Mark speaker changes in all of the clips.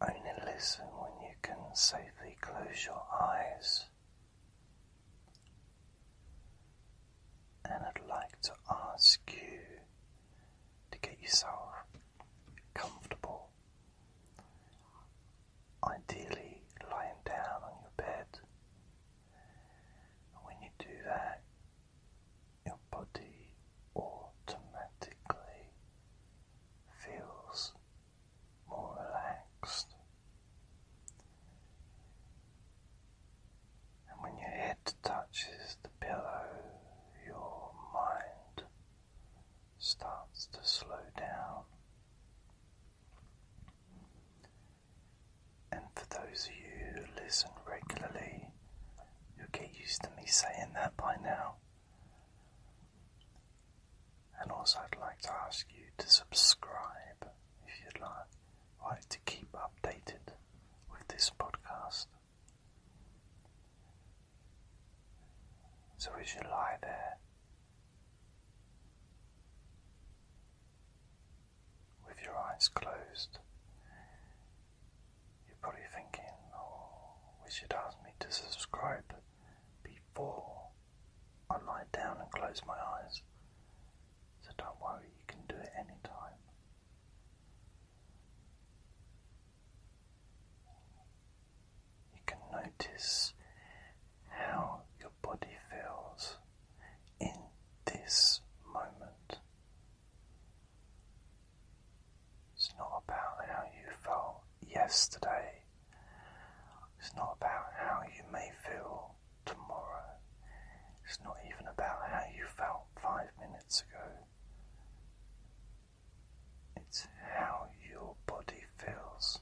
Speaker 1: only listen when you can safely close your eyes. And I'd like to ask you to get yourself comfortable, ideally lying down on your bed. And when you do that, your body automatically feels more relaxed. And when your head touches the pillow, your mind starts to slow down. And for those of you who listen regularly, you'll get used to me saying that by now. And also, I'd like to ask you to subscribe if you'd like, like to keep updated with this podcast. So, as you lie there with your eyes closed, you're probably thinking, oh, we should ask me to subscribe, before I lie down and close my eyes. So don't worry, you can do it anytime. You can notice how your body feels in this moment. It's not about how you felt yesterday. It's not about how you may feel tomorrow. It's not even about how you felt five minutes ago. It's how your body feels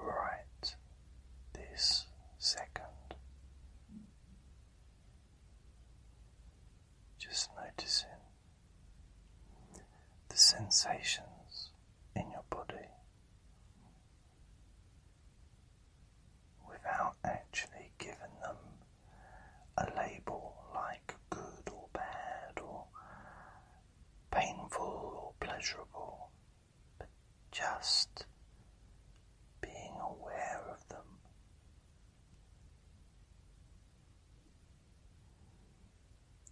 Speaker 1: right this second. Just noticing the sensations in your body without actually giving them a label like good or bad or painful or pleasurable, but just being aware of them.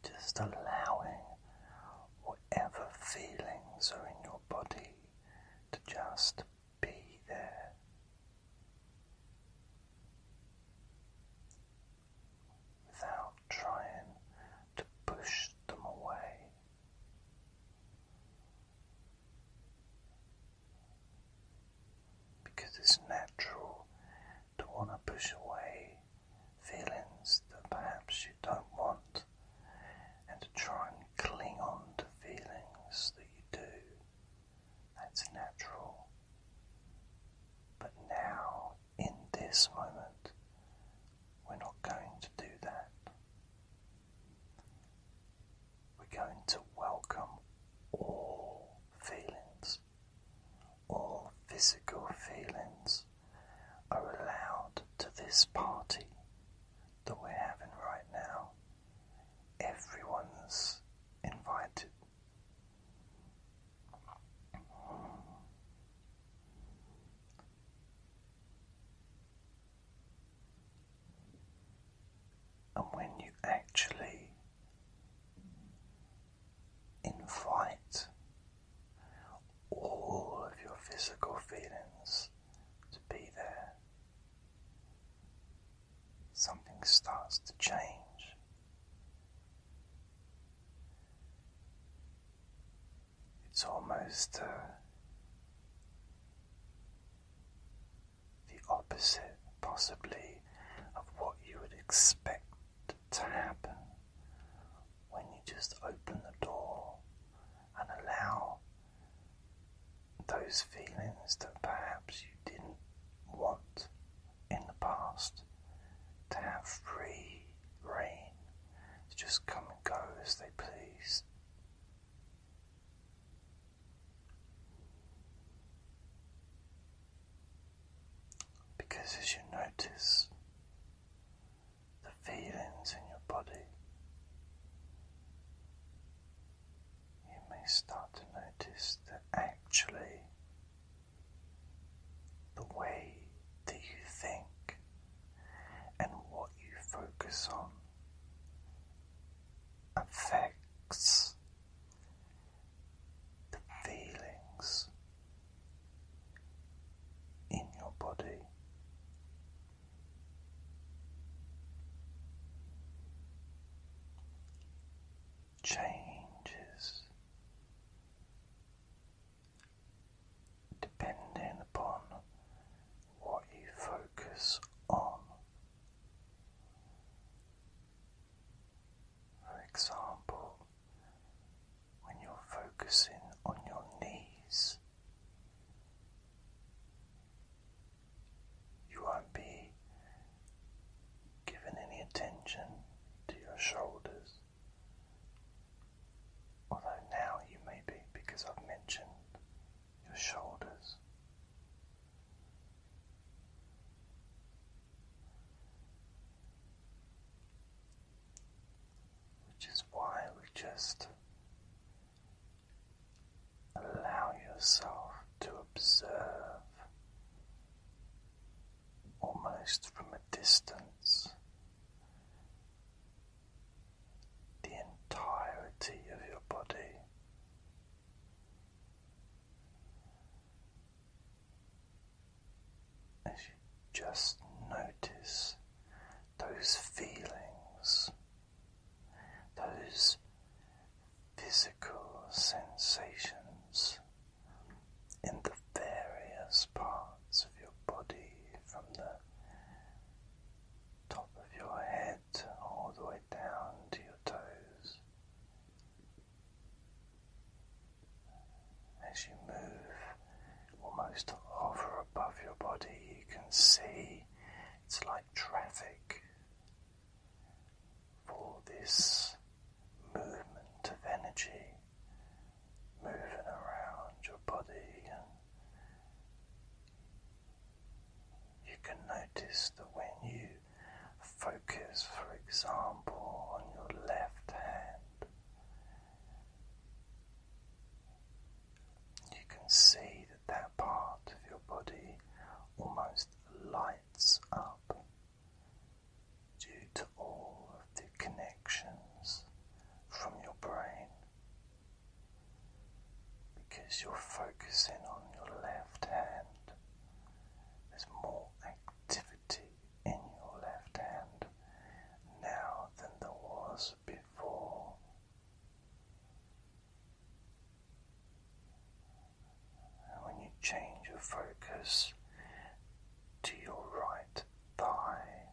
Speaker 1: Just allowing whatever feelings are in your body to just be there. Without trying to push them away, because it's natural to want to push away feelings that perhaps you don't want, and to try and cling on to feelings that you do. That's natural. But now, in this moment, we're not going to do that. We're going to welcome all feelings all physical feelings are allowed to this party that we're having right now. Everyone's invited. And when you actually Invite all of your physical feelings to be there. Something starts to change. It's almost uh, the opposite, possibly, of what you would expect to happen when you just open the door and allow those feelings that perhaps you didn't want in the past to have free reign to just come and go as they please. Because as you notice the feelings in your body, you may start to notice that actually the way that you think and what you focus on affects the feelings in your body. Changes depending upon what you focus on. For example, when you're focusing on your knees, you won't be given any attention to your shoulders. Although now you may be, because I've mentioned your shoulders. Which is why we just allow yourself to observe almost from a distance the entirety of your body as you just notice those feelings, those physical sensations in the various parts of your body from the top of your head all the way down to your toes as you move, almost over above your body, you can see it's like traffic for this movement of energy moving around your body, and you can notice that when you focus, for example, on your left hand. You can see that that part of your body almost lights up due to all of the connections from your brain because you're focusing on your left hand. There's more activity in your left hand now than there was before. when you change your focus to your right thigh,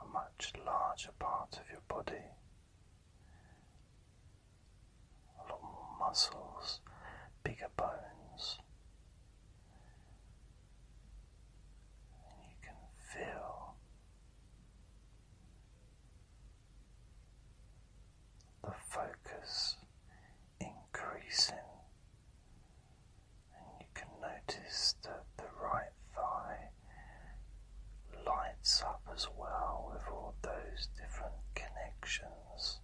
Speaker 1: a much larger part of your body a lot more muscles, bigger bones. you can feel the focus increasing, and you can notice that the right thigh lights up as well with all those different connections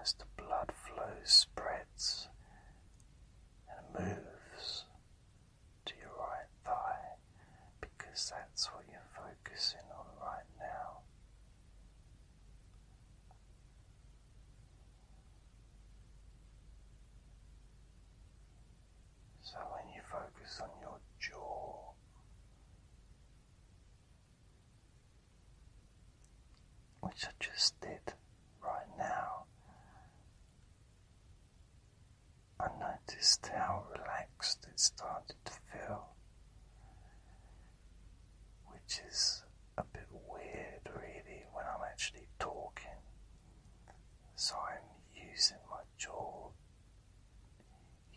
Speaker 1: as the blood flow spreads and moves to your right thigh because that's what you're focusing on right now. So, when you focus on your jaw, which I just did right now, I noticed how relaxed it started to feel, which is a bit weird, really, when I'm actually talking. So I'm using my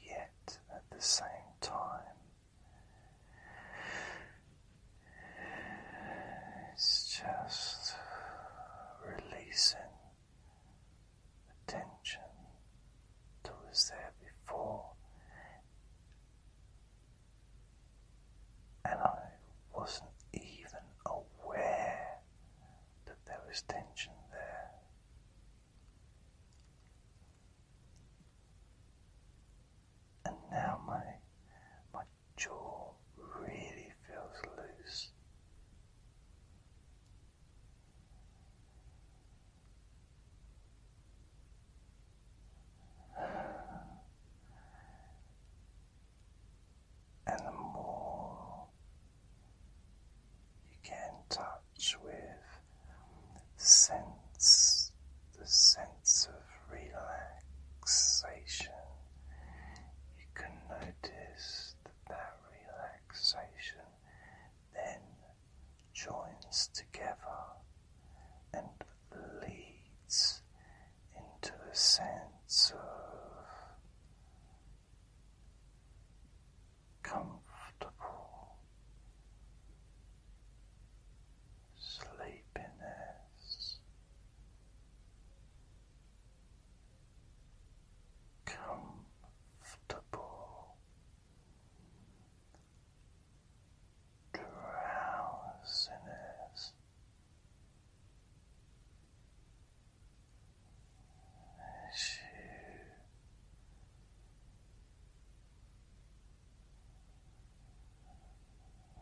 Speaker 1: yet at the same time, it's just releasing the tension that was there before, and I wasn't even aware that there was tension there. And now my my jaw really feels loose. And the more you can touch with sense the sense of relaxation. You can notice that that relaxation then joins together and leads into a sense of comfortable sleepiness, comfortable drowsiness as you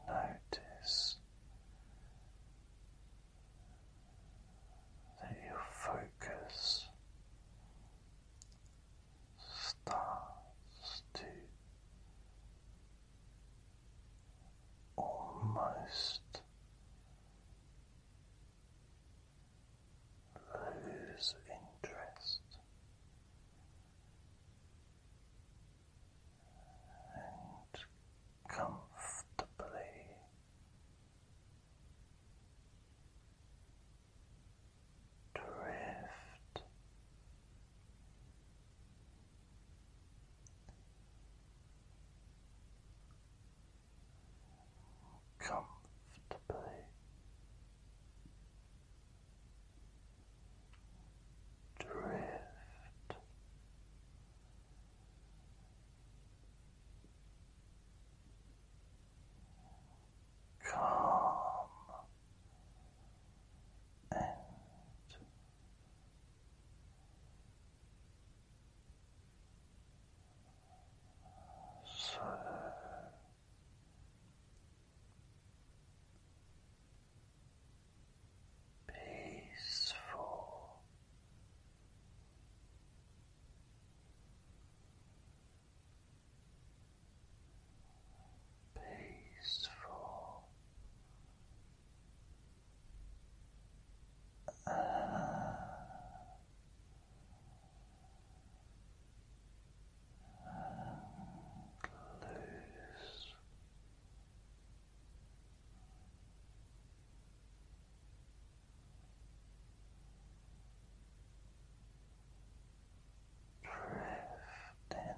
Speaker 1: notice that your focus starts to almost lose interest and comfortably drift comfortably drift calm and so peaceful. Peaceful loose. Drifting.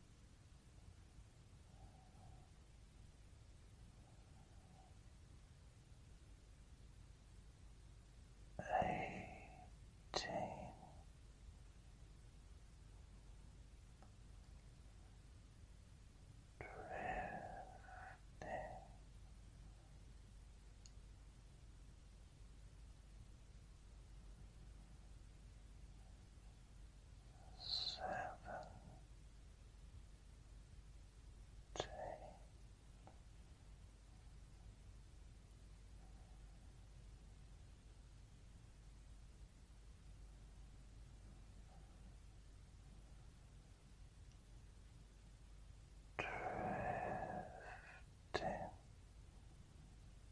Speaker 1: Eighteen. Drifting seventeen. Drifting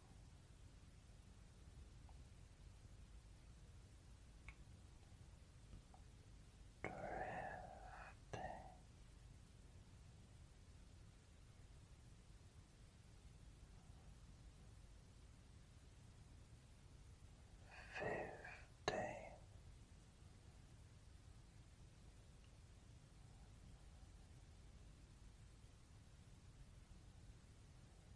Speaker 1: Drifting fifteen fourteen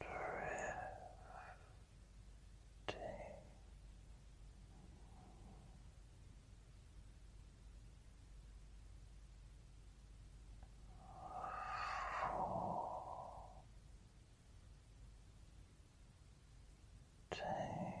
Speaker 1: drifting Fourteen.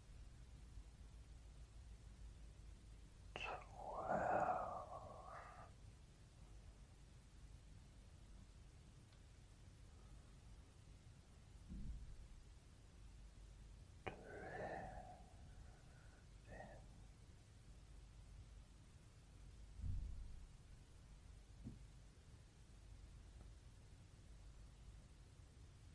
Speaker 1: twelve. Drifting.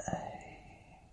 Speaker 1: Eight. Drifting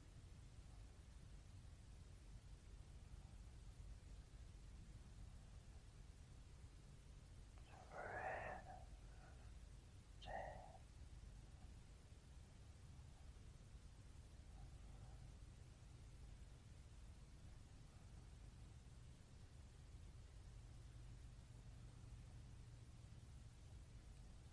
Speaker 1: Breathing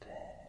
Speaker 1: Breathing.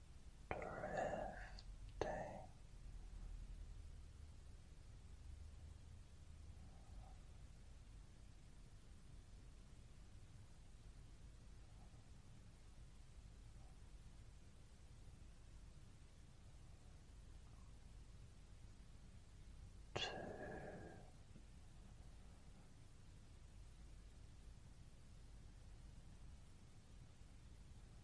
Speaker 1: drifting Two.